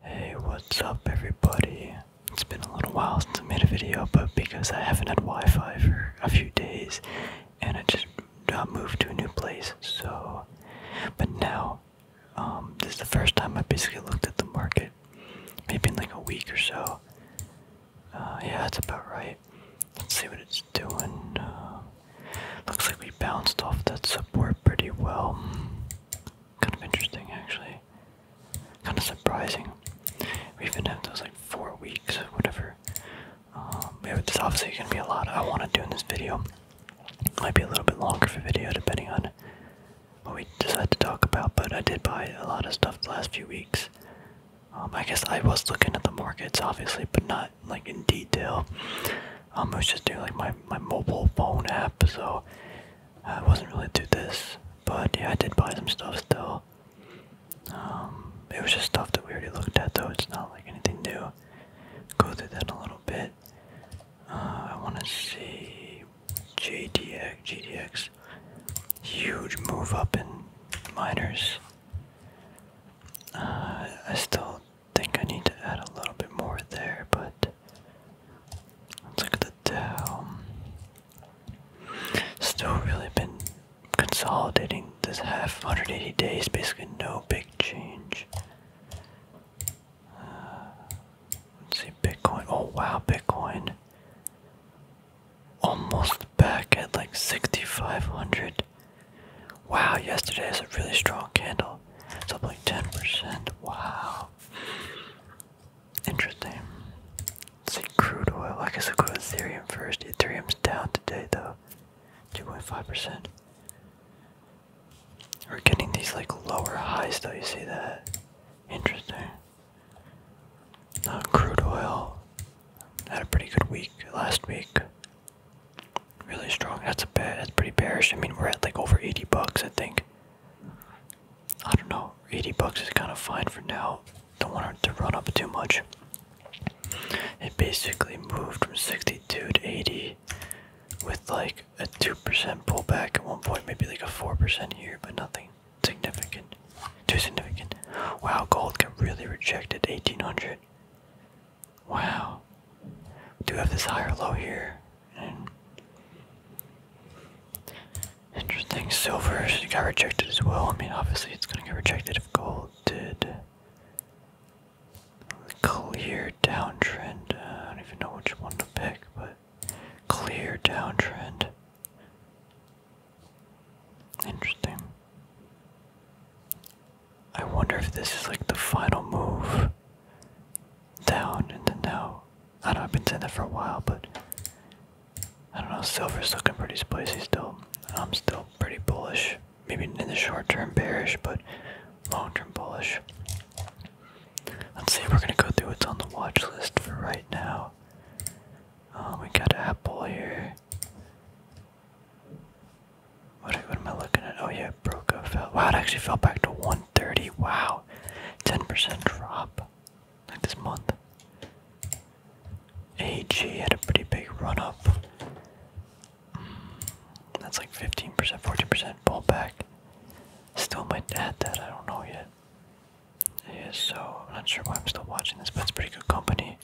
Hey, what's up everybody? It's been a little while since I made a video, but because I haven't had Wi-Fi for a few days, and I just moved to a new place, so... But now, um, this is the first time I basically looked at the market, maybe in like a week or so. Uh, yeah, that's about right. Let's see what it's doing. Uh, looks like we bounced off that support pretty well kind of interesting actually. Kind of surprising. We even have those like four weeks, whatever. Um, yeah, this obviously gonna be a lot I want to do in this video. Might be a little bit longer for video depending on what we decide to talk about. But I did buy a lot of stuff the last few weeks. Um, I guess I was looking at the markets obviously, but not like in detail. I was just doing like my, my mobile phone app, so I wasn't really do this. But yeah, I did buy some stuff still. Um, it was just stuff that we already looked at, though. It's not like anything new. Go through that in a little bit. Uh, I want to see JDX. JDX, huge move up in miners. Uh, I still think I need to add a little bit more there, but let's look at the Dow. Still really been consolidating this half 180 days, basically no big change. Uh, let's see, Bitcoin. Oh wow, Bitcoin. Almost back at like 6,500. Wow, yesterday is a really strong candle. It's up like 10%. Wow. Wow. Interesting. see crude oil. I guess I'll go to Ethereum first. Ethereum's down today though. 2.5%. We're getting these like lower highs though, you see that? Interesting. crude oil. Had a pretty good week last week. Really strong. That's a bad. That's pretty bearish. I mean, we're at like over 80 bucks, I think. I don't know. 80 bucks is kind of fine for now. Don't want it to run up too much. It basically moved from 62 to 80 with like a 2% pullback at one point, maybe like a 4% here, but nothing significant. Too significant. Wow, gold got really rejected. 1800. Wow. We do have this higher low here. Interesting. Silver got rejected as well. I mean, obviously, it's going to get rejected if gold did. Clear downtrend. Uh, I don't even know which one to pick, but clear downtrend. Interesting. I wonder if this is like the final move down in now, I don't know, I've been saying that for a while, but I don't know, silver's looking pretty spicy still. I'm still pretty bullish. Maybe in the short term bearish, but long term bullish. Let's see, we're gonna go through what's on the watch list for right now. Um, we got Apple here. What, am I looking at? Oh yeah, it broke up. Fell. Wow, it actually fell back to 130. Wow, 10% drop. Like this month. AG had a pretty big run up. Mm, that's like 15%, 14 percent back. Still might add that, I don't know yet. Yeah, so I'm not sure why I'm still watching this, but it's pretty good company.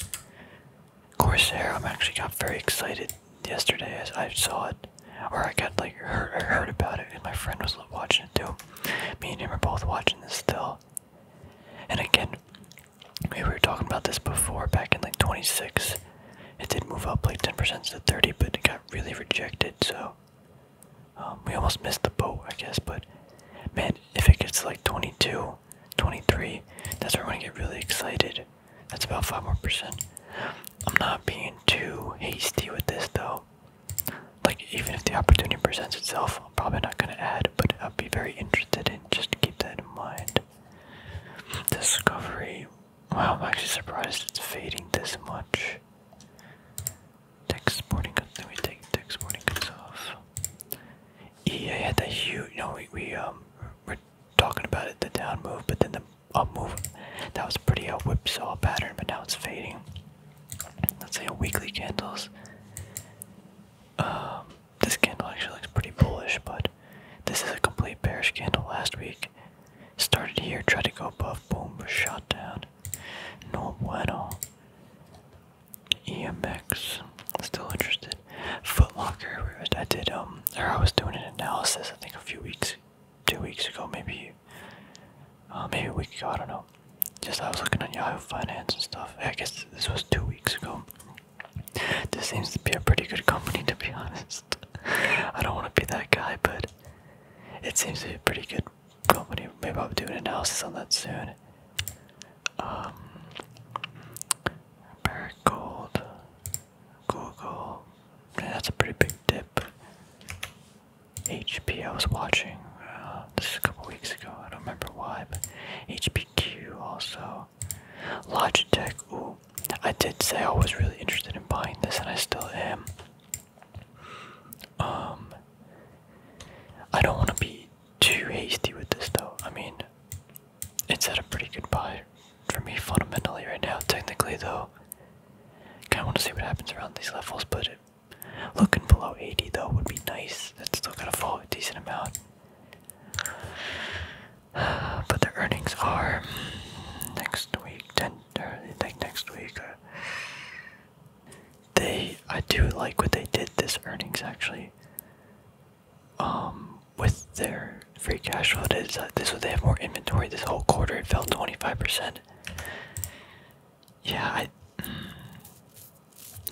Corsair, I'm actually got very excited yesterday I, I saw it, or I got like heard, heard about it, and my friend was watching it too. Me and him are both watching this still. And again, we were talking about this before, back in like 26. It did move up like 10% to 30, but it got really rejected, so um, we almost missed the boat, I guess. But man, if it gets like 22, 23, that's where i want to get really excited. That's about five more percent. I'm not being too hasty with this though. Like even if the opportunity presents itself, I'm probably not gonna add, but i would be very interested in just keep that in mind. Discovery. Wow, I'm actually surprised it's fading this much. Tech sporting let me take tech sporting goods off. EA had that huge, you we um, we're talking about it, the down move, but then the a move. That was pretty a uh, whipsaw pattern, but now it's fading. Let's say a weekly candles. Um, this candle actually looks pretty bullish, but this is a complete bearish candle. Last week, started here, tried to go above, boom, shot down. No bueno. EMX, still interested. Footlocker, I did um, or I was doing an analysis I think a few weeks two weeks ago, maybe, uh, maybe a week ago. I don't know. Just I was looking at Yahoo Finance and stuff. I guess this was two weeks ago. This seems to be a pretty good company, to be honest. I don't want to be that guy, but it seems to be a pretty good company. Maybe I'll do an analysis on that soon. Um, Barrick Gold. Google. That's a pretty big dip. HP, I was watching uh, this is a couple weeks ago. I don't remember why, but HPQ also. Logitech. Ooh, I did say I was really interested in buying this, and I still am. Um, I don't want to be too hasty with this, though. I mean, it's at a pretty good buy for me fundamentally right now. Technically, though, kind of want to see what happens around these levels, but looking below 80 though would be nice. That's still gonna fall a decent amount. but the earnings are next week. Ten, or I think next week. Uh, they, I do like what they did this earnings actually. Um, with their free cash flow this, uh, this was they have more inventory this whole quarter it fell 25% yeah i mm,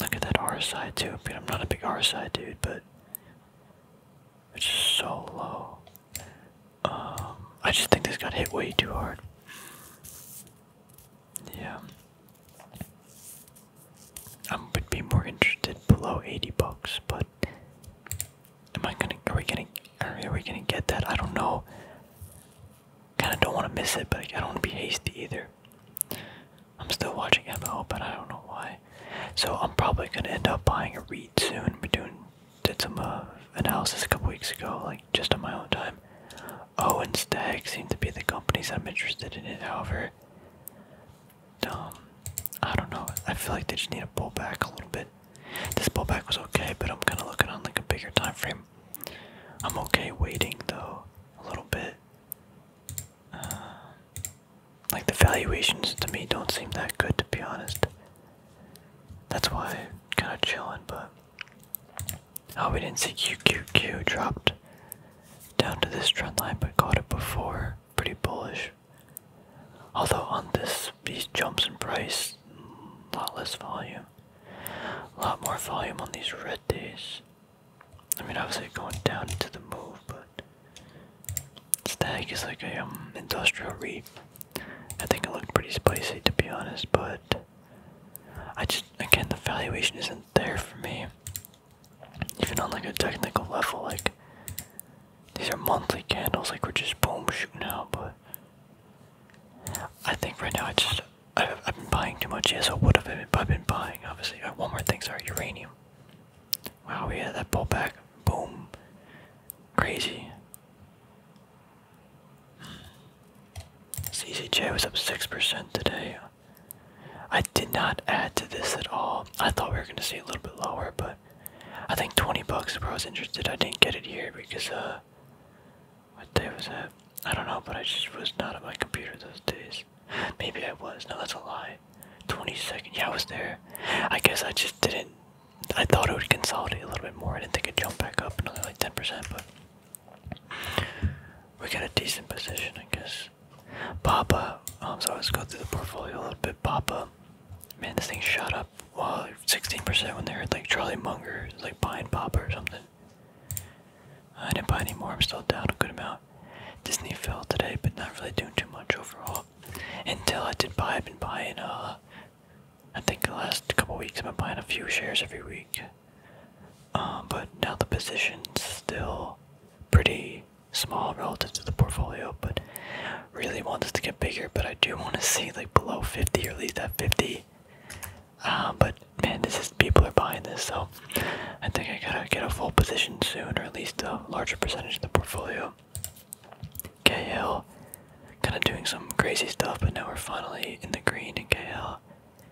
look at that rsi too but i'm not a big rsi dude but it's so low um, i just think this got hit way too hard yeah i would be more interested below 80 bucks but Am I gonna? Are we gonna? Are we gonna get that? I don't know. Kind of don't want to miss it, but I don't want to be hasty either. I'm still watching MO, but I don't know why. So I'm probably gonna end up buying a read soon. We doing did some uh, analysis a couple weeks ago, like just on my own time. Owen oh, Stag seems to be the companies I'm interested in. However, dumb. I don't know. I feel like they just need to pull back a little bit. This pullback was okay, but I'm kind of looking on like a bigger time frame. I'm okay waiting though a little bit. Uh, like the valuations to me don't seem that good to be honest. That's why kind of chilling, but oh, we didn't see QQQ dropped down to this trend line, but caught it before. Pretty bullish. Although on this, these jumps in price, lot less volume. A lot more volume on these red days. I mean, obviously going down into the move, but Stag is like a um, industrial reap. I think it looked pretty spicy to be honest, but I just again the valuation isn't there for me. Even on like a technical level, like these are monthly candles, like we're just boom shooting out, but I think right now I just I've, been buying too much. Yes, I would have been, I've been buying obviously. Uh, one more thing, sorry, uranium. Wow, we yeah, had that pull back, boom, crazy. CCJ was up six percent today. I did not add to this at all. I thought we were going to see a little bit lower, but I think 20 bucks if I was interested. I didn't get it here because, uh, what day was that? I don't know, but I just was not at my computer those days. Maybe I was. No, that's a lie. 22nd. Yeah, I was there. I guess I just didn't. I thought it would consolidate a little bit more. I didn't think it'd jump back up another like 10%, but we got a decent position, I guess. Papa, um, so let's go through the portfolio a little bit. Papa, Man, this thing shot up well, 16% when they heard like Charlie Munger, like buying Papa or something. I didn't buy any more, I'm still down a good amount. Disney fell today, but not really doing too much overall. Until I did buy, I've been buying, uh, I think the last couple weeks I've been buying a few shares every week. Um, but now the position's still pretty small relative to the portfolio, but really want this to get bigger. But I do want to see like below 50 or at least at 50. Uh, but man, this is people are buying this, so I think I gotta get a full position soon, or at least a larger percentage of the portfolio. KL kind of doing some crazy stuff, but now we're finally in the green in KL.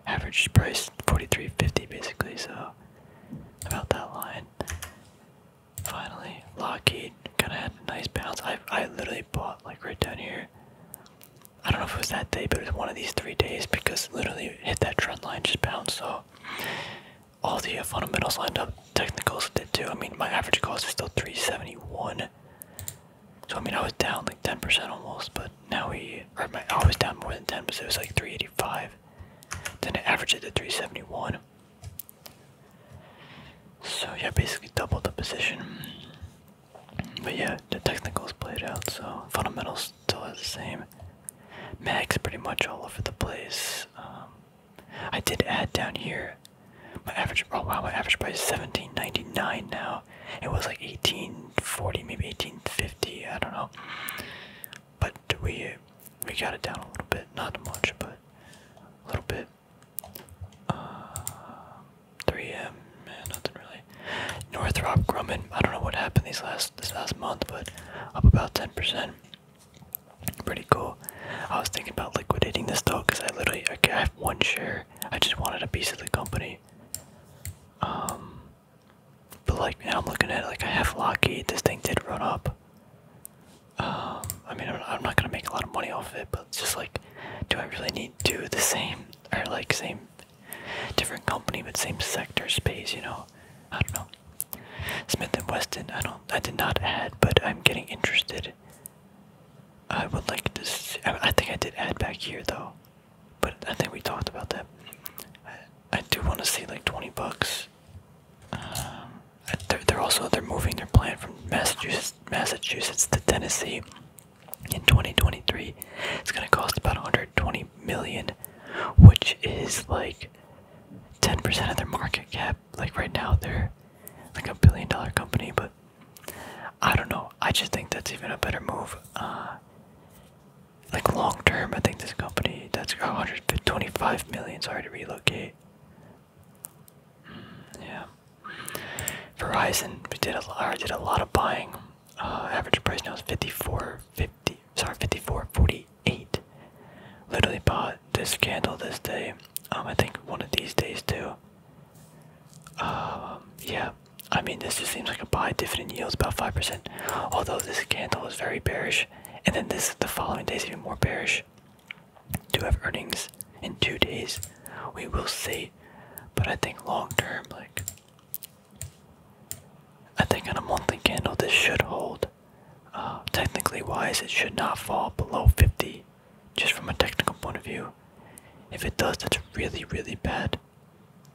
Average price 43.50 basically, so about that line. Finally, Lockheed kind of had a nice bounce. I I literally bought like right down here. I don't know if it was that day, but it was one of these three days because literally hit that trend line, just bounced. So all the uh, fundamentals lined up. Technicals did too. I mean, my average cost is still 371. So I mean, I was down like 10% almost, but now we or my I was down more than 10, because it was like 385. Then I averaged it to 371. So yeah, basically double the position. But yeah, the technicals played out, so fundamentals still is the same. Mag's pretty much all over the place. Um, I did add down here my average. Oh wow, my average price seventeen ninety nine now. It was like eighteen forty, maybe eighteen fifty. I don't know but we we got it down a little bit, not much, but a little bit. 3M, uh, man, nothing really. Northrop Grumman, I don't know what happened these last this last month, but up about 10%. Pretty cool. I was thinking about liquidating this though, because I literally I have one share. I just wanted a piece of the company. Um, but like, now I'm looking at like I have Lockheed. This thing did run up. Um, I mean, I'm, not gonna make a lot of money off it, but just like, do I really need to do the same or like same different company but same sector space? You know, I don't know. Smith and Weston. I don't. I did not add, but I'm getting interested. I would like to. I, think I did add back here though, but I think we talked about that. I do want to see like 20 bucks um, they're, also they're moving their plant from Massachusetts, Massachusetts to Tennessee in 2023. It's going to cost about 120 million, which is like 10% of their market cap. Like right now, they're like a billion dollar company, but I don't know. I just think that's even a better move. Uh, like long term, I think this company that's 100 125 million. Sorry to relocate. Hmm, yeah. Verizon. We did a lot. did a lot of buying. Uh, average price now is 54. 50. Sorry, 54. 48. Literally bought this candle this day. Um, I think one of these days too. Um, yeah. I mean, this just seems like a buy. Different yields about five percent. Although this candle is very bearish, and then this the following days, even more bearish. Do have earnings in two days. We will see, but I think long term, like I think on a monthly candle, this should hold. Uh, technically wise, it should not fall below 50, just from a technical point of view. If it does, that's really, really bad.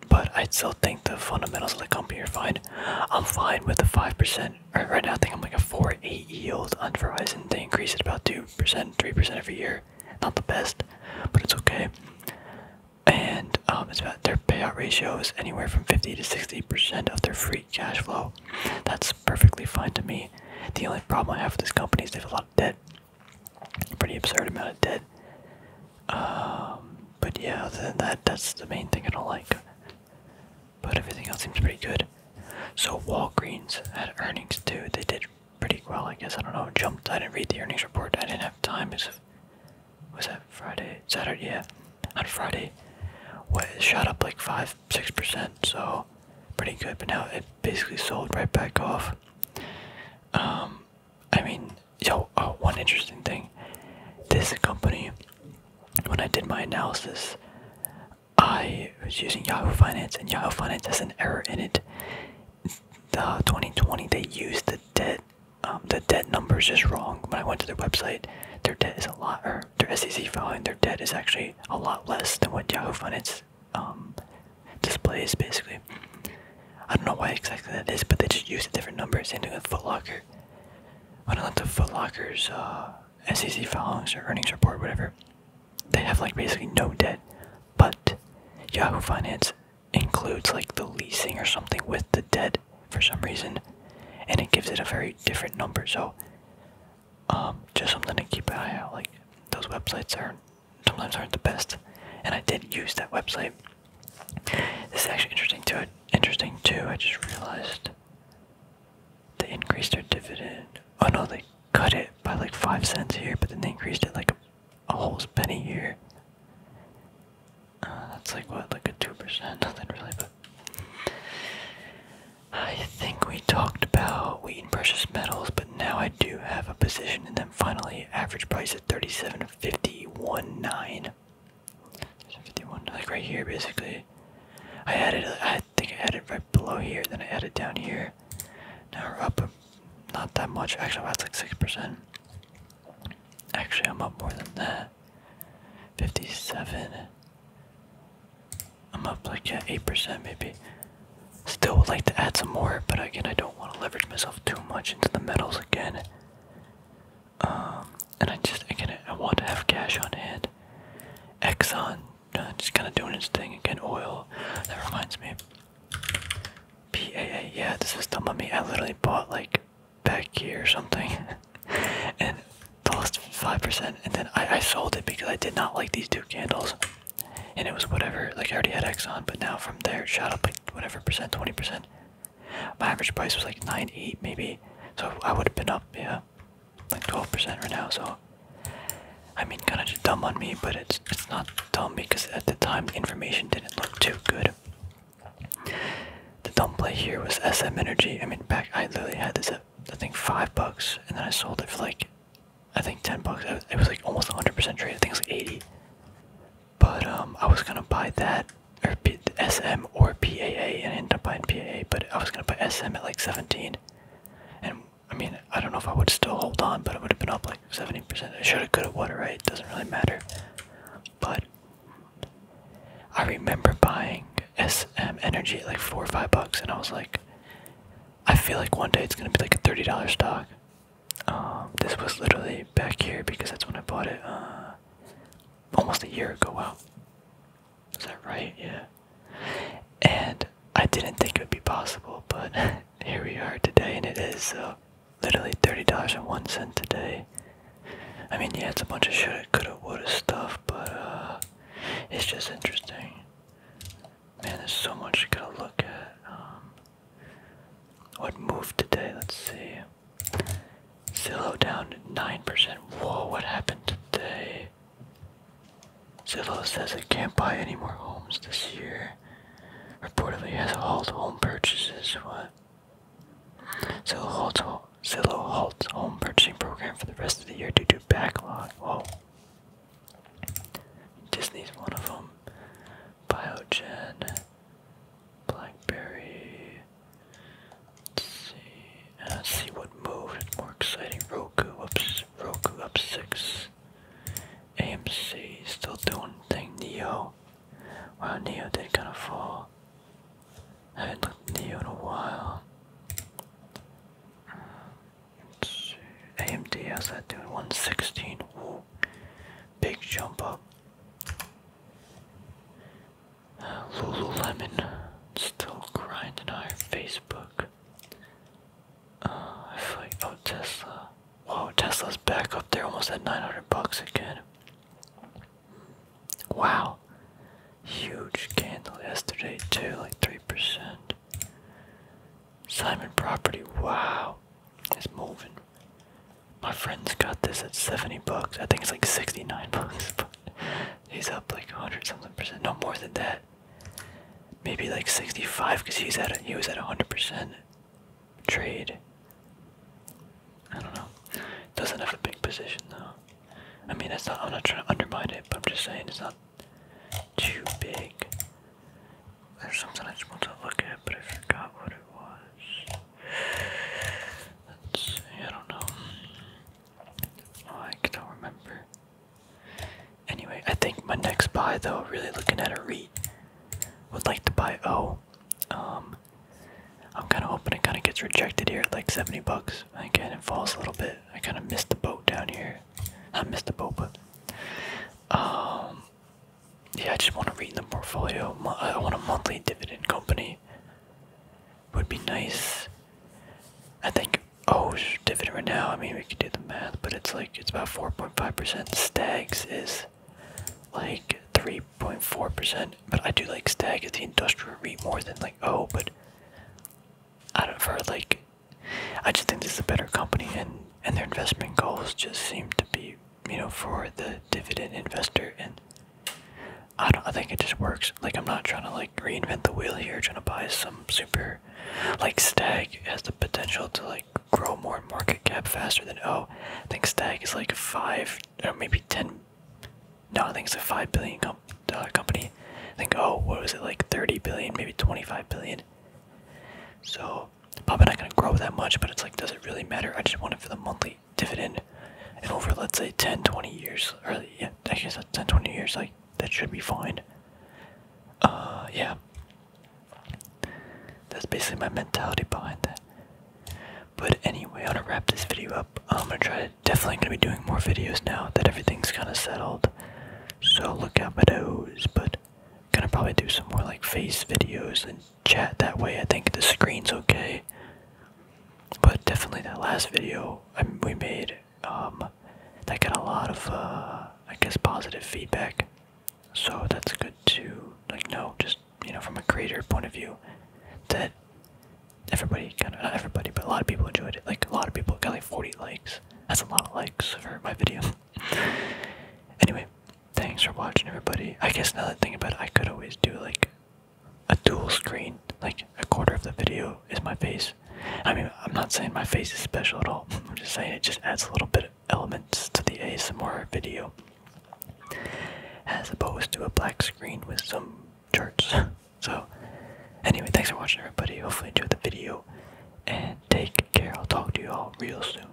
But I still think the fundamentals of the company are fine. I'm fine with the 5% right, now I think I'm like a four eight yield on Verizon. They increase it about 2%, 3% every year. Not the best, but it's okay. And um, it's about their payout ratio is anywhere from 50 to 60% of their free cash flow. That's perfectly fine to me. The only problem I have with this company is they have a lot of debt. A pretty absurd amount of debt. Um, but yeah, other than that, that's the main thing I don't like but everything else seems pretty good. So Walgreens had earnings too. They did pretty well, I guess. I don't know. Jumped. I didn't read the earnings report. I didn't have time. Is was that Friday, Saturday? Yeah, on Friday, what shot up like five, six percent. So pretty good. But now it basically sold right back off. Um, I mean, yo, uh, one interesting thing. This company when I did my analysis, I was using Yahoo Finance, and Yahoo Finance has an error in it. The 2020 they used the debt, um, the debt numbers just wrong. When I went to their website, their debt is a lot, or their SEC filing, their debt is actually a lot less than what Yahoo Finance um, displays. Basically, I don't know why exactly that is, but they just used a different number. Same thing with Foot Locker when I looked at Foot Locker's uh, SEC filings or earnings report, whatever, they have like basically no debt. But Yahoo Finance includes like the leasing or something with the debt for some reason, and it gives it a very different number. So, um, just something to keep an eye out. Like those websites are sometimes aren't the best, and I did use that website. This is actually interesting too. Interesting too. I just realized they increased their dividend. Oh no, they cut it by like five cents here, but then they increased it like a, whole penny here. Uh, that's like what, like a two percent? Nothing really, but I think we talked about wheat and precious metals, but now I do have a position in them. Finally, average price at thirty-seven fifty one nine. 51, like right here basically. I added, I think I added right below here, then I added down here. Now we're up not that much, actually that's like 6%. Actually I'm up more than that. 57. I'm up like yeah, 8% maybe. Still would like to add some more, but again I don't want to leverage myself too much into the metals again. Um and I just again I want to have cash on hand. Exxon uh, just kind of doing its thing again. Oil that reminds me. PAA yeah this was dumb of me. I literally bought like back here or something, and lost five percent. And then I, I sold it because I did not like these two candles, and it was whatever. Like I already had Exxon, but now from there it shot up like whatever percent, twenty percent. My average price was like nine eight maybe, so I would have been up yeah, like twelve percent right now. So I mean, kind of dumb on me, but it's it's not dumb because at the time the information didn't look too good. The dumb play here was SM Energy. I mean, back I literally had this at I think five bucks, and then I sold it for like I think ten bucks. It was like almost 100% trade. I think it was like 80. But um, I was gonna buy that or SM or PAA, and end up buying PAA. But I was gonna buy SM at like 17, and I mean I don't know if I would still hold on, but it would have been up like 70 percent. It should have, could have, would right? Doesn't really matter. But I remember buying SM Energy at like four or five bucks, and I was like, I feel like one day it's gonna be like a thirty dollar stock. Um, this was literally back here because that's when I bought it. Uh, almost a year ago. well, is that right? Yeah. And I didn't think it would be possible, but here we are today, and it is. Uh, literally thirty dollars and one cent today. I mean, yeah, it's a bunch of shit, coulda, woulda stuff, but uh, it's just interesting. Man, there's so much you gotta look at. Um, what moved today? Let's see. Zillow down 9%. Whoa, what happened today? Zillow says it can't buy any more homes this year. Reportedly has halted home purchases. What? Zillow halts, Zillow halts home purchasing program for the rest of the year due to backlog. Whoa. Disney's one of them. Biogen. Blackberry. Let's see. Uh, see what moved. More exciting. Roku up. Roku up six. AMC still doing thing. Neo. Wow, Neo did kind of fall. I haven't looked at Neo in a while. AMD, has that doing? 116. Big jump up. Uh, Lululemon still grinding on her Facebook. Uh, I feel like oh Tesla. Wow, Tesla's back up there, almost at 900 bucks again. Wow, huge candle yesterday too, like three percent. Simon Property, wow, it's moving. My friend's got this at 70 bucks. I think it's like 69 bucks, but he's up like 100 something percent. No more than that. Maybe like 65 because he's at he was at 100% trade. I don't know. Doesn't have a big position though. I mean, it's not. I'm not trying to undermine it, but I'm just saying it's not too big. There's something I just want to look at, but I forgot what it Let's see, I don't know. Oh, I cannot remember. Anyway, I think my next buy though, really looking at a REIT, would like to buy Oh, Um, I'm kind of hoping it kind of gets rejected here like 70 bucks. Again, it falls a little bit. I kind of missed the boat down here. I missed the boat, but um, yeah, I just want to read the portfolio. I want a monthly dividend company. Would be nice. I think oh, dividend right now. I mean, we could do the math, but it's like it's about 4.5%. Stags is like 3.4%. But I do like Stag as the industrial REIT more than like oh, but I don't for like. I just think this is a better company, and and their investment goals just seem to be you know, for the dividend investor, and I don't. I think it just works. Like I'm not trying to like reinvent the wheel here, trying to buy some super, like Stag has the potential to like grow more market cap faster than oh, I think Stag is like five or maybe ten. No, I think it's a five billion uh, company. I think oh, what was it like thirty billion, maybe twenty five billion. So probably not going to grow that much, but it's like, does it really matter? I just want it for the monthly dividend. And over, let's say, 10, 20 years, or yeah, I guess that's years, like, that should be fine. Uh, yeah. That's basically my mentality behind that. But anyway, I'm gonna wrap this video up. I'm gonna try to, definitely gonna be doing more videos now that everything's kind of settled. So look out for those, but gonna probably do some more like face videos and chat that way. I think the screen's okay. But definitely that last video um, we made, um, that got a lot of, uh, I guess, positive feedback. So that's good to, like, know, just, you know, from a creator point of view, that everybody, kind of, not everybody, but a lot of people enjoyed it. Like, a lot of people got, like, 40 likes. That's a lot of likes for my video. anyway, thanks for watching everybody. I guess another thing about I could always do like a dual screen, like a quarter of the video is my face. I mean, I'm not saying my face is special at all. I'm just saying it just adds a little bit of elements to the ASMR video, as opposed to a black screen with some charts. so, anyway, thanks for watching everybody. Hopefully, you enjoyed the video, and take care. I'll talk to you all real soon.